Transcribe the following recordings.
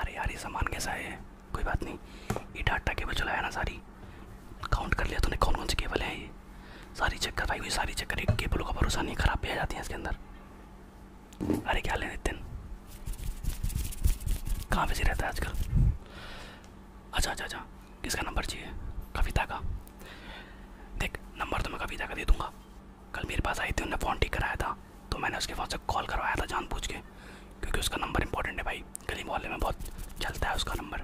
अरे यार ये सामान कैसा है कोई बात नहीं ये डाटा केबल चलाया ना सारी काउंट कर लिया तूने कौन कौन सी केबल है ये सारी चेक करवाई हुई सारी चेक करी केबलों का भरोसा नहीं खराब भी आ जाती है इसके अंदर अरे क्या लेने दिन कहाँ बिजी रहता है आजकल अच्छा अच्छा अच्छा किसका नंबर चाहिए कविता का देख नंबर तो मैं कविता का दे दूँगा कल मेरे पास आई थी उन्होंने फ़ोन ठीक कराया था तो मैंने उसके फ़ोन से कॉल करवाया था जान पूछ के क्योंकि उसका नंबर इंपॉर्टेंट है भाई गली मोहल्ले में बहुत चलता है उसका नंबर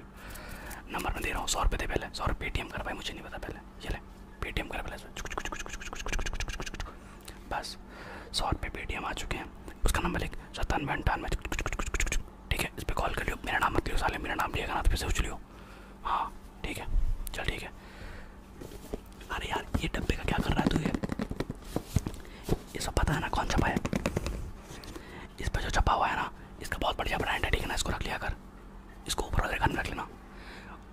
नंबर मैं दे रहा हूँ सौ रुपये दे पहले सौ रुपये पेटीएम कर भाई मुझे नहीं पता पहले चले पेटीएम कर पहले बस सौ रुपये पेटीएम आ चुके हैं उसका नंबर एक सत्तानवे अंठानवे ठीक है इस पर कॉल कर लियो मेरा नाम मत लियो साले मेरा नाम लिएगा ना तो पैसे उछ लियो हाँ ठीक है चल ठीक है अरे यार ये डब्बे का क्या कर रहा है तू ये ये सब पता है ना कौन छपा है इस पर जो छपा हुआ है ना इसका बहुत बढ़िया ब्रांड है ठीक है ना इसको रख लिया कर इसको ऊपर वाले में रख लेना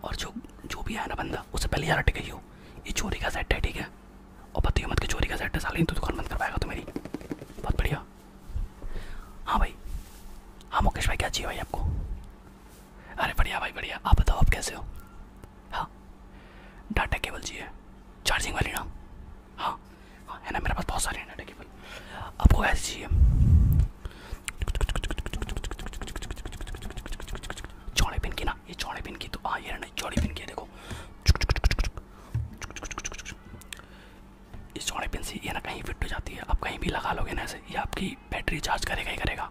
और जो जो भी है ना बंदा उससे पहले यार अटके हो ये चोरी का सेट है ठीक है और पता मत के चोरी का सेट है साली तो दुकान बंद करवाएगा तो मेरी बहुत बढ़िया हाँ भाई हाँ मुकेश भाई क्या चाहिए भाई आपको अरे बढ़िया भाई बढ़िया आप बताओ आप कैसे हो हाँ डाटा केबल जी है चार्जिंग वाली ना हाँ हाँ है ना मेरे पास बहुत सारे हैं डाटा केबल अब आपको ऐसे चाहिए चौड़े पिन की ना ये चौड़े पिन की तो हाँ ये ना चौड़े पिन की है देखो इस चौड़े पिन से ये ना कहीं फिट हो जाती है आप कहीं भी लगा लोगे ना ऐसे ये आपकी बैटरी चार्ज करेगा ही करेगा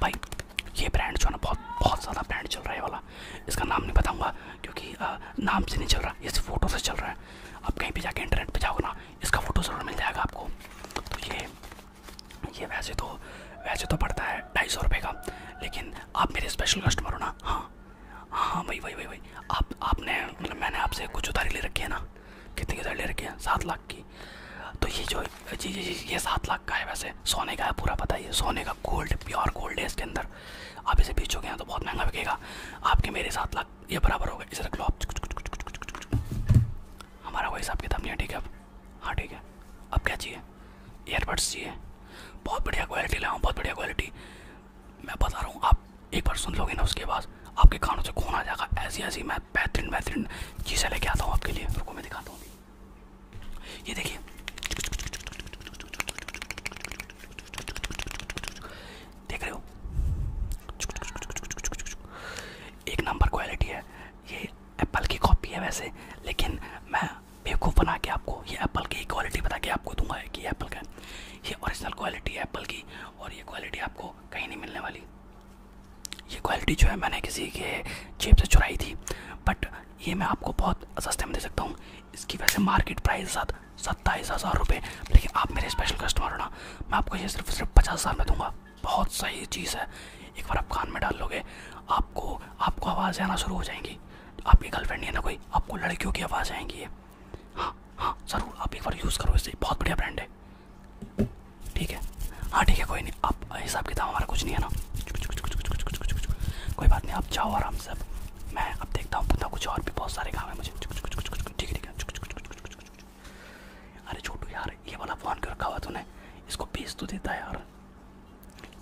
भाई ये ब्रांड जो है ना बहुत बहुत ज़्यादा ब्रांड चल रहा है वाला इसका नाम नहीं बताऊँगा क्योंकि नाम से नहीं चल रहा इस फ़ोटो से चल रहा है आप कहीं भी जाके इंटरनेट पर जाओगे ना इसका फ़ोटो ज़रूर मिल जाएगा आपको तो ये ये वैसे तो वैसे तो पड़ता है ढाई सौ रुपये का लेकिन आप मेरे स्पेशल कस्टमर हो ना हाँ हाँ वही वही वही वही आप आपने मतलब मैंने आपसे कुछ उधारी ले रखी है ना कितनी उधारी ले रखी है सात लाख की तो ये जो जी जी जी ये सात लाख का है वैसे सोने का है पूरा पता ही है सोने का गोल्ड प्योर गोल्ड है इसके अंदर आप इसे बेचोगे हैं तो बहुत महंगा बिकेगा आपके मेरे सात लाख ये बराबर होगा इसे रख लो आप हमारा कोई हिसाब किताब नहीं है ठीक है अब हाँ ठीक है अब क्या चाहिए ईयरबड्स चाहिए बहुत बढ़िया क्वालिटी लाऊँ बहुत बढ़िया क्वालिटी मैं बता रहा हूँ आप एक बार सुन लोगे ना उसके बाद आपके कानों से खून आ जाएगा ऐसी ऐसी मैं बेहतरीन बेहतरीन चीज़ें लेके आता हूँ आपके लिए रुको मैं दिखाता हूँ ये देखिए देख रहे हो एक नंबर क्वालिटी है ये एप्पल की कॉपी है वैसे लेकिन मैं बेवकूफ़ बना के आपको ये एप्पल की क्वालिटी बता के आपको दूंगा कि एप्पल का ये ओरिजिनल क्वालिटी है एप्पल की और ये क्वालिटी आपको कहीं नहीं मिलने वाली ये क्वालिटी जो है मैंने किसी के जेब से चुराई थी बट ये मैं आपको बहुत सस्ते में दे सकता हूँ इसकी वैसे मार्केट प्राइस साथ सत्ताईस हज़ार रुपये लेकिन आप मेरे स्पेशल कस्टमर हो ना मैं आपको ये सिर्फ सिर्फ पचास हज़ार में दूंगा बहुत सही चीज़ है एक बार आप कान में डाल लोगे आपको आपको आवाज़ आना शुरू हो जाएंगी आपकी गर्लफ्रेंड नहीं है ना कोई आपको लड़कियों की आवाज़ आएंगी ये हाँ हाँ ज़रूर आप एक बार यूज़ करो इसे बहुत बढ़िया ब्रांड है ठीक है हाँ ठीक है कोई नहीं आप आप हिसाब किताब हमारा कुछ नहीं है ना कोई बात नहीं आप जाओ आराम से मैं अब देखता हूँ पता कुछ और भी बहुत सारे काम है मुझे ठीक है ठीक है अरे छोटू यार ये वाला फ़ोन क्यों रखा हुआ तूने इसको बेच तो देता है यार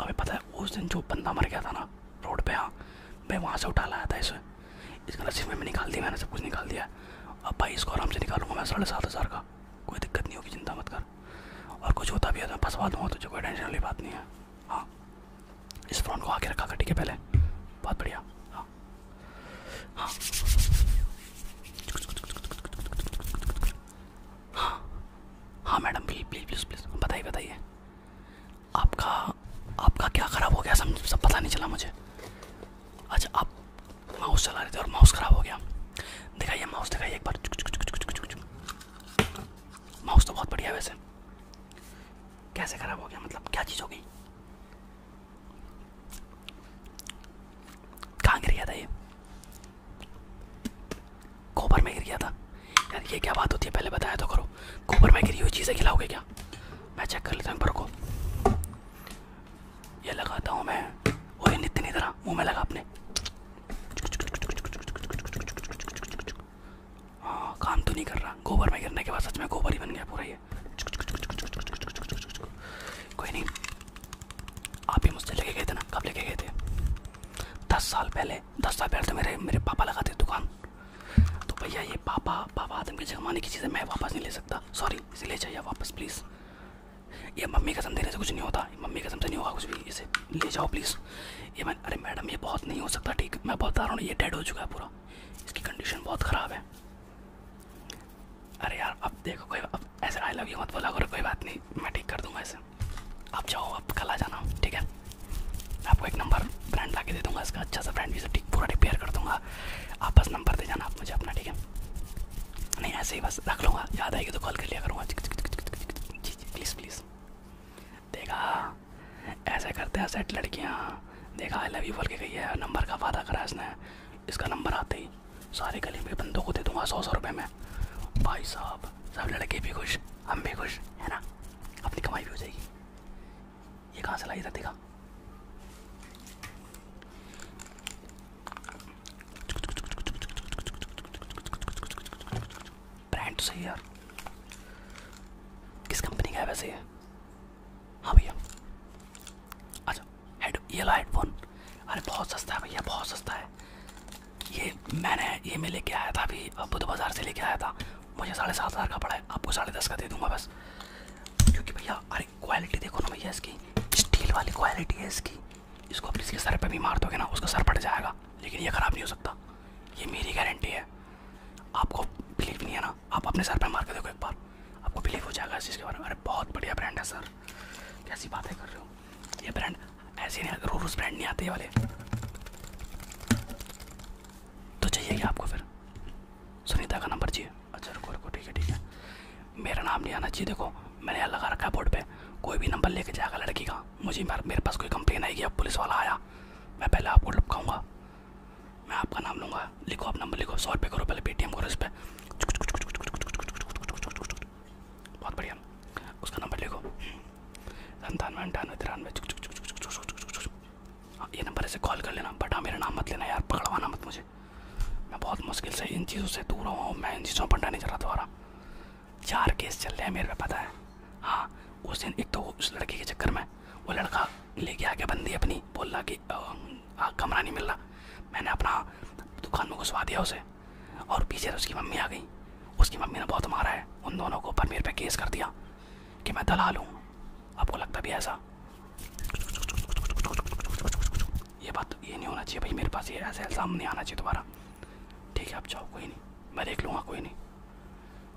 अभी पता है उस दिन जो बंदा मर गया था ना रोड पर हाँ मैं वहाँ से उठा लाया था इसे इसका नसीब में मैं निकाल दिया मैंने सब कुछ निकाल दिया अब भाई इसको आराम से निकालूंगा मैं साढ़े सात हज़ार का कोई दिक्कत नहीं होगी चिंता मत कर और कुछ होता भी है तो फंसवा तो जो कोई टेंशन वाली बात नहीं है हाँ इस फ़ोन को आके रखा कर ठीक है पहले बहुत बढ़िया हाँ हाँ हाँ हाँ madam please please please please बताइए बताइए आपका आपका क्या ख़राब हो गया सब सब पता नहीं चला मुझे अच्छा आप माउस चला रहे थे और माउस ख़राब हो गया दिखाइए माउस दिखाइए एक बार चुक चुक चुक चुक चुक चुक माउस तो बहुत बढ़िया वैसे कैसे ख़राब हो गया मतलब क्या चीज़ हो गई कहाँ गिर गया था ये गोबर में गिर गया था यार ये क्या बात होती है पहले बताया तो करो कोबर में गिरी हुई चीज़ें खिलाओगे क्या मैं चेक कर लेता हूँ पर को ये लगाता हूँ मैं और नित्य नहीं तरह मुँह में लगा अपने हाँ काम तो नहीं कर रहा गोबर में गिरने के बाद सच में गोबर ही बन गया पूरा ये कोई नहीं आप ही मुझसे लेके गए थे ना कब लेके गए थे दस साल पहले दस साल पहले तो मेरे मेरे पापा लगाते दुकान तो भैया ये पापा पापा आदम के जमाने की चीज़ें मैं वापस नहीं ले सकता सॉरी इसे ले जाइए वापस प्लीज़ ये मम्मी का समझे से कुछ नहीं होता मम्मी का से नहीं होगा कुछ भी इसे ले जाओ प्लीज़ ये मैं अरे मैडम ये बहुत नहीं हो सकता ठीक मैं बहुत आ रहा हूँ ये डेड हो चुका है पूरा इसकी कंडीशन बहुत ख़राब है अरे यार अब देखो कोई अब ऐसे आई लव यू मत बोला करो कोई बात नहीं मैं ठीक कर दूँगा ऐसे आप जाओ आप कल आ जाना ठीक है मैं आपको एक नंबर ब्रांड ला के दे दूँगा इसका अच्छा सा ब्रांड भी ठीक पूरा रिपेयर कर दूँगा आप बस नंबर दे जाना आप मुझे अपना ठीक है नहीं ऐसे ही बस रख लूँगा याद आएगी तो कॉल कर लिया करूँगा जी जी प्लीज़ प्लीज़ देखा ऐसे करते हैं सेट लड़कियाँ देखा आई लव यू बोल के गई है नंबर का वादा करा इसने इसका नंबर आते ही सारे गली में बंदों को दे दूंगा सौ सौ रुपये में भाई साहब सब लड़के भी खुश हम भी खुश है ना अपनी कमाई भी हो जाएगी ये कहाँ से लाई था देखा ब्रांड तो सही है यार किस कंपनी का है वैसे ये हाँ भैया अच्छा हेड ये ला हेडफोन अरे बहुत सस्ता है भैया बहुत सस्ता है ये मैंने ये मैं लेके आया था अभी बुध बाज़ार से लेके आया था मुझे साढ़े सात हज़ार का पड़ा है आपको साढ़े दस का दे दूँगा बस क्योंकि भैया अरे क्वालिटी देखो ना भैया इसकी स्टील वाली क्वालिटी है इसकी इसको आप किसी के सर पर भी मार दोगे ना उसका सर पड़ जाएगा लेकिन ये ख़राब नहीं हो सकता ये मेरी गारंटी है आपको बिलीव नहीं है ना आप अपने सर पर मार के देखो एक बार आपको बिलीव हो जाएगा इस चीज़ बारे में अरे बहुत बढ़िया ब्रांड है सर कैसी बातें कर रहे हो ये ब्रांड ऐसे नहीं रोज रोज ब्रांड नहीं आते वाले तो चाहिए क्या आपको फिर सुनीता का नंबर चाहिए अच्छा रुको रुको ठीक है ठीक है मेरा नाम नहीं आना चाहिए देखो मैंने यहाँ लगा रखा है बोर्ड पे कोई भी नंबर लेके जाएगा लड़की का होगा मुझे मेरे पास कोई कंप्लेन आएगी अब पुलिस वाला आया मैं पहले आपको लपकाऊंगा मैं आपका नाम लूँगा लिखो आप नंबर लिखो सौ रुपये करो पहले पेटीएम करो इस पर बहुत बढ़िया उसका नंबर लिखो संतानवे अंठानवे तिरानवे हाँ, ये नंबर ऐसे कॉल कर लेना बट हाँ मेरा नाम मत लेना यार पकड़वाना मत मुझे मैं बहुत मुश्किल से इन चीज़ों से दूर हुआ हूँ मैं इन चीज़ों पर डाने जा रहा दोबारा चार केस चल रहे हैं मेरे पे पता है हाँ उस दिन एक तो उस लड़के के चक्कर में वो लड़का लेके आके बंदी अपनी बोल रहा कि कमरा नहीं मिल रहा मैंने अपना दुकान में घुसवा दिया उसे और पीछे से उसकी मम्मी आ गई उसकी मम्मी ने बहुत मारा है उन दोनों को पर मेरे पे केस कर दिया कि मैं दलाल हूँ आपको लगता भी ऐसा ये बात ये नहीं होना चाहिए भाई मेरे पास ये ऐसा इल्ज़ाम नहीं आना चाहिए दोबारा ठीक है आप जाओ कोई नहीं मैं देख लूँगा कोई नहीं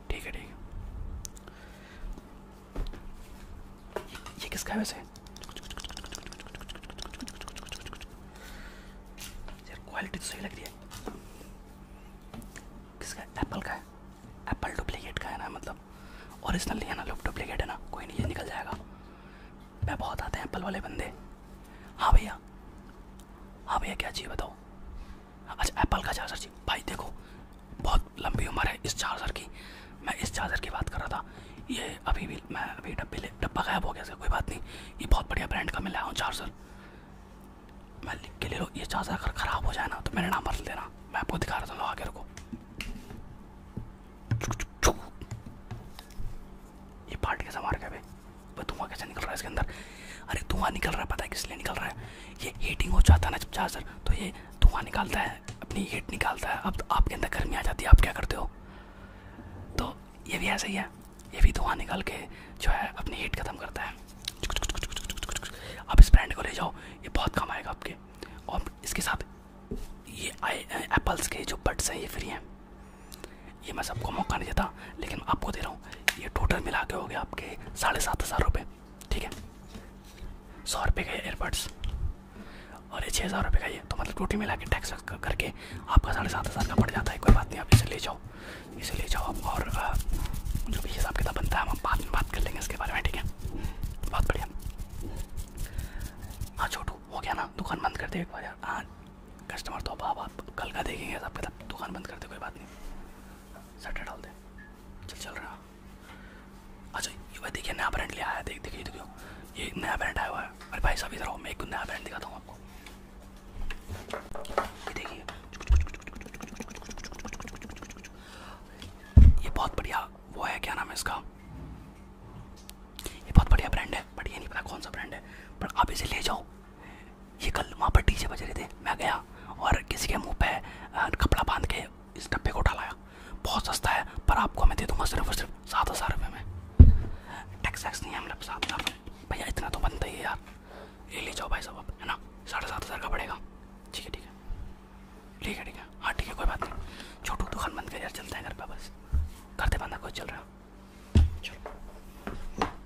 ठीक है ठीक है ये किसका है वैसे यार क्वालिटी तो सही लग रही है किसका है एप्पल का है एप्पल डुप्लीकेट का है ना मतलब ओरिजिनल नहीं है ना लोग डुप्लीकेट है ना कोई नहीं ये निकल जाएगा मैं बहुत आते हैं एप्पल वाले बंदे हाँ भैया हाँ भैया क्या चाहिए बताओ अच्छा एप्पल का चार्जर जी भाई देखो बहुत लंबी उम्र है इस चार्जर की मैं इस चार्जर की बात कर रहा था ये अभी भी मैं अभी डब्बे ले डब्बा गायब हो गया इसका कोई बात नहीं ये बहुत बढ़िया ब्रांड का मैं लाया हूँ चार्जर मैं लिख के ले लो ये चार्जर अगर ख़राब हो जाए ना तो मेरा नाम बदल देना मैं आपको दिखा रहा था आगे रुको ये फाट के संभार के भाई धुआं कैसे निकल रहा है इसके अंदर अरे धुआं निकल रहा है पता है किस लिए निकल रहा है ये हीटिंग हो जाता है ना जब चार्जर तो ये धुआं निकालता है अपनी हीट निकालता है अब तो आपके अंदर गर्मी आ जाती है आप क्या करते हो तो ये भी ऐसा ही है ये भी धुआं निकाल के जो है अपनी हीट ख़त्म करता है आप इस ब्रांड को ले जाओ ये बहुत काम आएगा आपके और इसके साथ ये आई एप्पल्स के जो बड्स हैं ये फ्री हैं ये मैं सबको मौका नहीं देता लेकिन आपको दे रहा हूँ ये टोटल मिला के हो गया आपके साढ़े सात हज़ार रुपये ठीक है सौ रुपये का ये एयरबड्स और ये छः हज़ार रुपये का ये तो मतलब टोटल मिला के टैक्स करके आपका साढ़े सात हज़ार का पड़ जाता है कोई बात नहीं आप इसे ले जाओ इसे ले जाओ आप और जो भी हिसाब किताब बनता है हम बाद में बात कर लेंगे इसके बारे में ठीक है बहुत बढ़िया हाँ छोटू हो गया ना दुकान बंद कर दे एक बार यार हाँ कस्टमर तो अब आप कल का देखेंगे सबके तब दुकान बंद करते कोई बात नहीं सटर डाल दे चल चल रहा अच्छा ये भाई देखिए नया ब्रांड लिया आया देख देखिए देखियो ये नया ब्रांड आया हुआ है अरे भाई साहब इधर आओ मैं एक नया ब्रांड दिखाता हूँ आपको ये देखिए ये बहुत बढ़िया वो है क्या नाम है इसका ये बहुत बढ़िया ब्रांड है बट ये नहीं पता कौन सा ब्रांड है पर आप इसे ले जाओ ये कल वहाँ पर डीजे बज रहे थे मैं गया और किसी के मुंह पे कपड़ा बांध के इस डब्बे को डालाया बहुत सस्ता है पर आपको मैं दे दूँगा सिर्फ और सिर्फ सात हज़ार रुपये में टैक्स वैक्स नहीं है मतलब सात हज़ार रुपये भैया इतना तो बनता ही है यार ले ले जाओ भाई साहब आप है ना साढ़े सात हज़ार का पड़ेगा ठीक है ठीक है ठीक है ठीक है हाँ ठीक है कोई बात नहीं छोटू दुकान बंद कर यार चलते हैं घर पर बस करते बंदा कोई चल रहा है